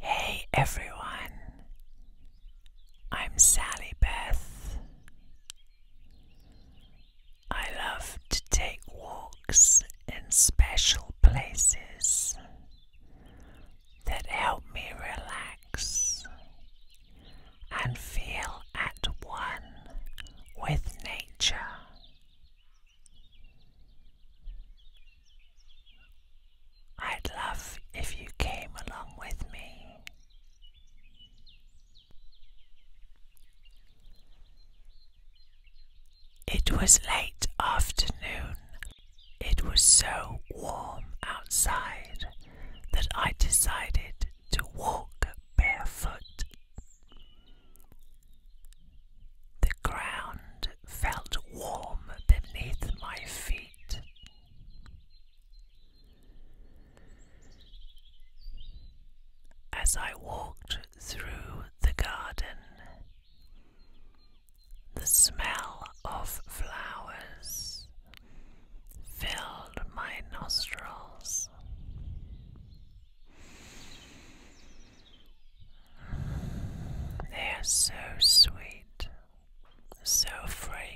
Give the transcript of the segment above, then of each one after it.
Hey everyone, I'm Sally Beth. I love to take walks in special places that help me relax and feel at one with nature. I'd love if you came along with me. It was late afternoon. It was so warm outside that I decided to walk barefoot. The ground felt warm beneath my feet. As I walked through the garden, the smell of flowers filled my nostrils. They are so sweet, so fragrant.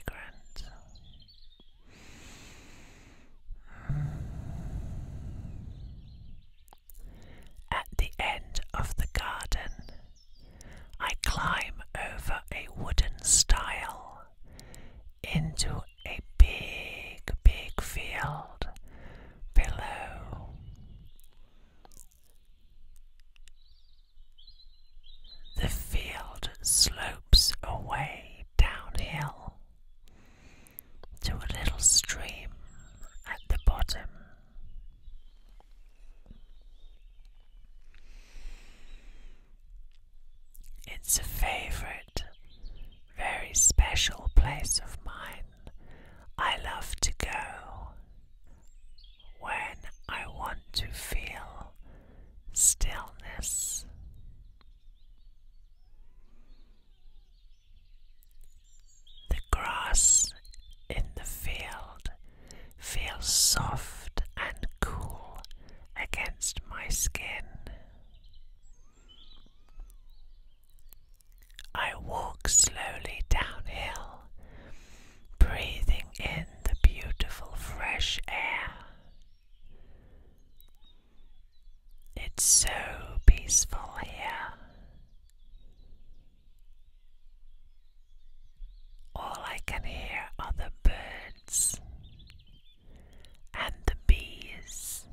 At the end of the garden, I climb over a wooden stile into a big, big field below. The field slopes away downhill to a little stream at the bottom. It's a favorite, very special place of mine. I love to go when I want to feel stillness. The grass in the field feels soft and cool against my skin. I walk slowly downhill, breathing in the beautiful fresh air. It's so peaceful here. All I can hear are the birds and the bees.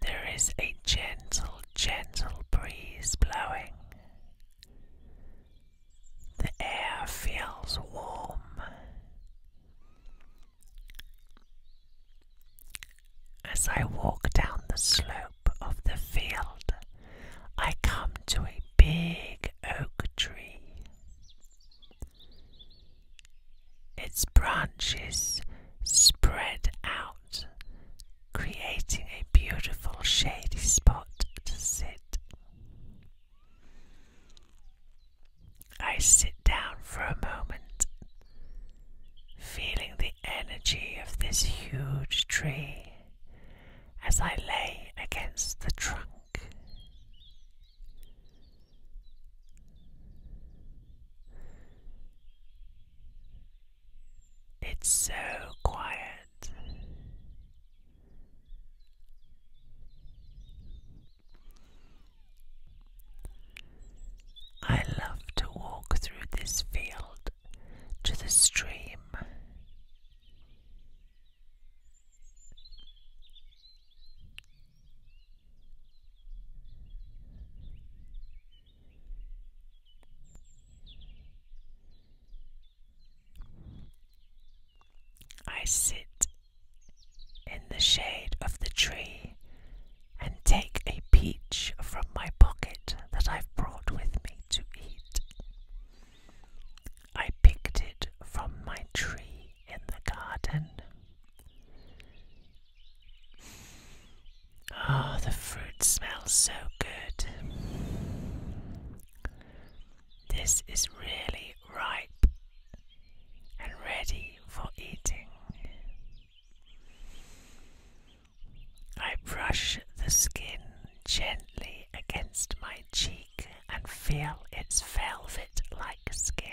There is a gentle, gentle breeze blowing. The air feels warm. As I walk down the slope of the field, I come to a big oak tree. Its branches spread out, creating a beautiful shady spot to sit. I sit down for a moment feeling the energy of this huge tree as I lay against the trunk. It's so quiet. I love to walk through this field to the stream. I sit in the shade of the tree and take a peach from my pocket that I've brought with me to eat. I picked it from my tree in the garden. Oh, the fruit smells so good. This is really ripe and ready for eating. I brush the skin gently against my cheek and feel its velvet like skin.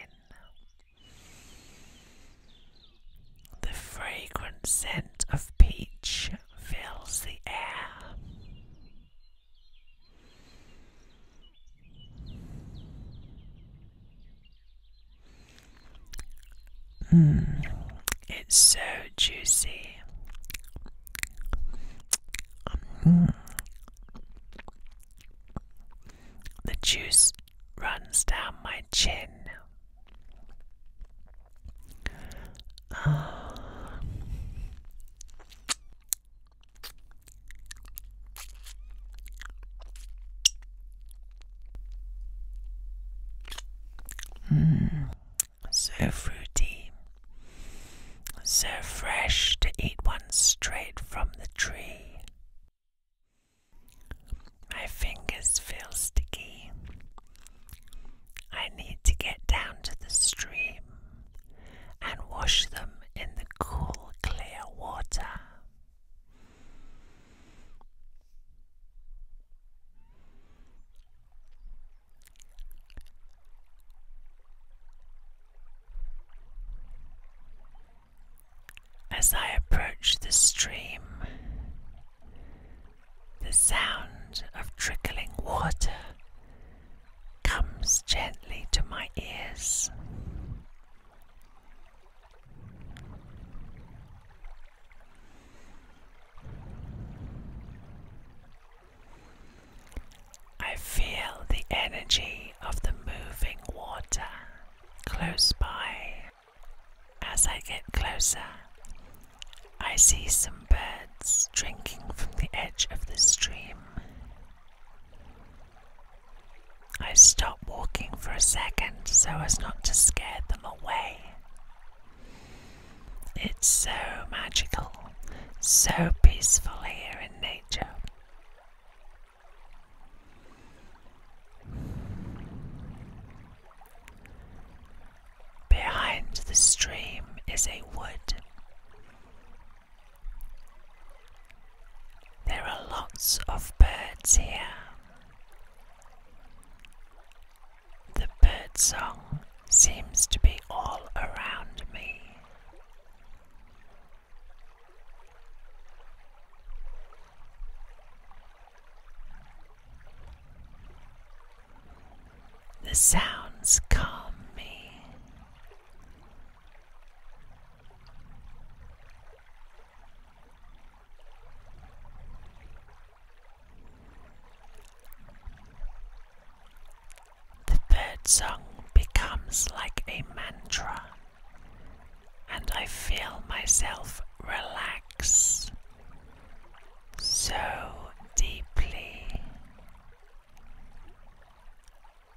The fragrant scent of peach fills the air. Mm, it's so juicy. Hmm. The juice runs down my chin. Oh. Mm. so fruity, so fresh to eat one straight from the tree. My fingers feel sticky. I need to get down to the stream and wash them in the cool, clear water. As I approach the stream, the sound of trickling water comes gently to my ears. I feel the energy of the moving water close by. As I get closer, I see some birds drinking from the edge of the stream. I stopped walking for a second so as not to scare them away. It's so magical, so peaceful here in nature. Behind the stream is a wood. There are lots of birds here. The bird song seems to be all around me. The sounds calm me. The third song becomes like a mantra, and I feel myself relax so deeply.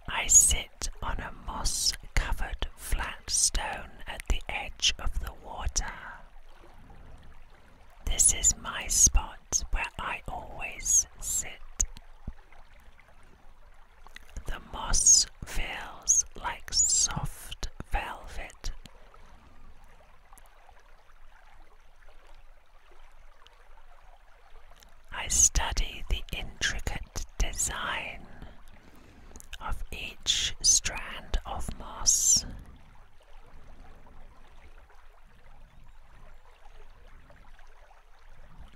I sit on a moss covered flat stone at the edge of the water. This is my spot where I always sit. The moss feels like soft velvet. I study the intricate design of each strand of moss.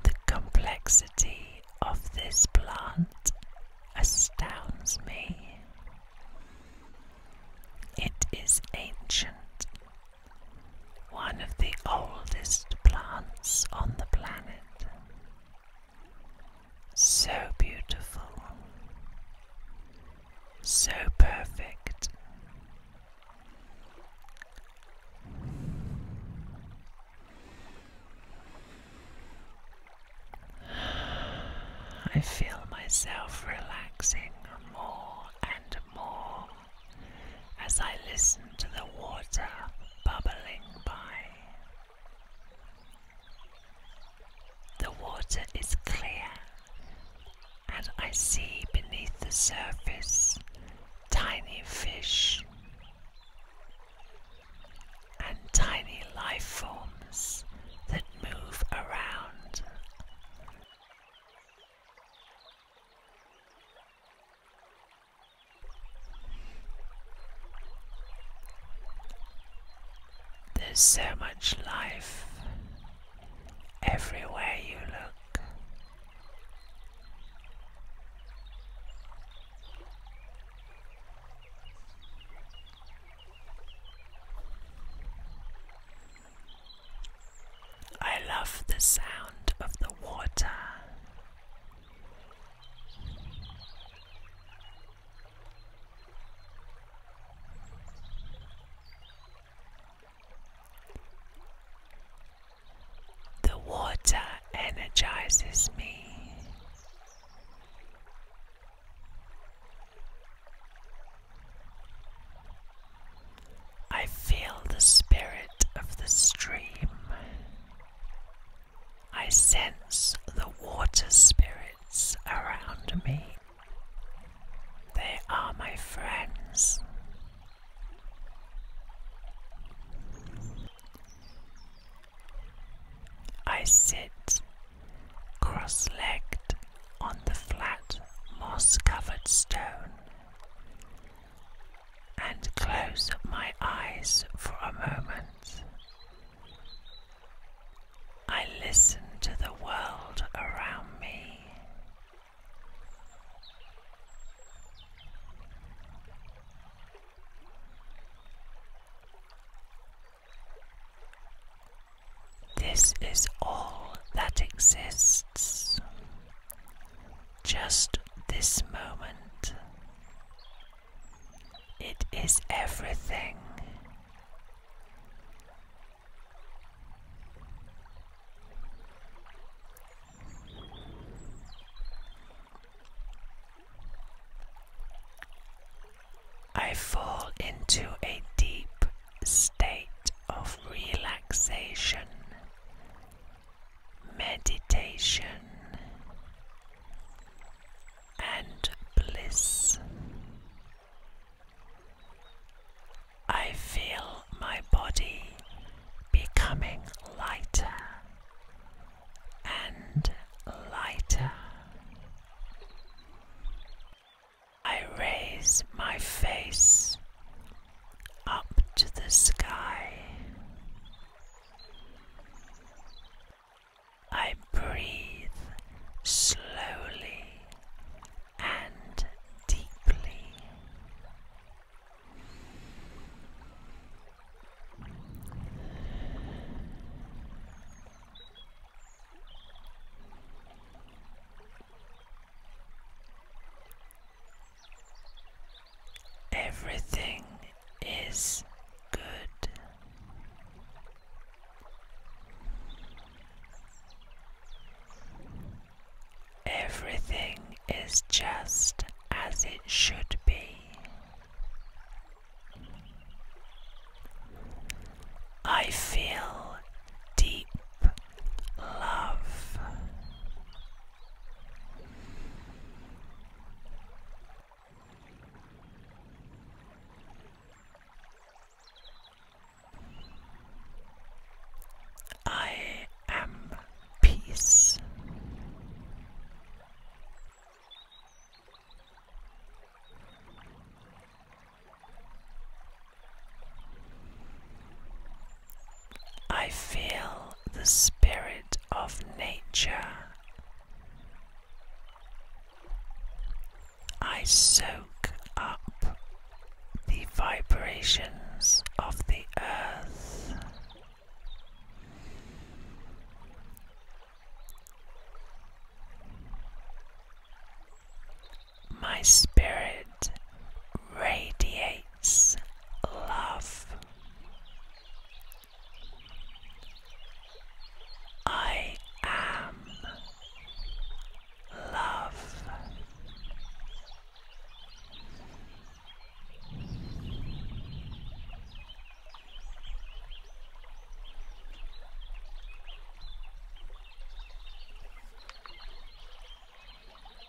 The complexity of this plant astounds me. It is ancient, one of the oldest plants on the planet. So beautiful, so perfect. I feel myself relaxing more and more as I listen to the water bubbling by. The water is clear, and I see beneath the surface tiny fish and tiny life forms that move around. There's so much life everywhere you look. I love the sound of the water the water energizes me. I feel the spirit of the stream. I sense the water spirits around me. They are my friends. I sit cross legged on the flat moss covered stone and close my eyes for a moment. I listen to the world around me. This is all that exists just this moment. It is everything. I fall into a deep state of relaxation meditation and bliss. I feel my body becoming lighter and lighter. I raise my face up to the sky. I breathe slowly and deeply. Everything is good. Everything is just as it should be. I feel deep love. I am peace. I feel the spirit of nature. I soak up the vibrations of the earth. My spirit radiates love. I am love.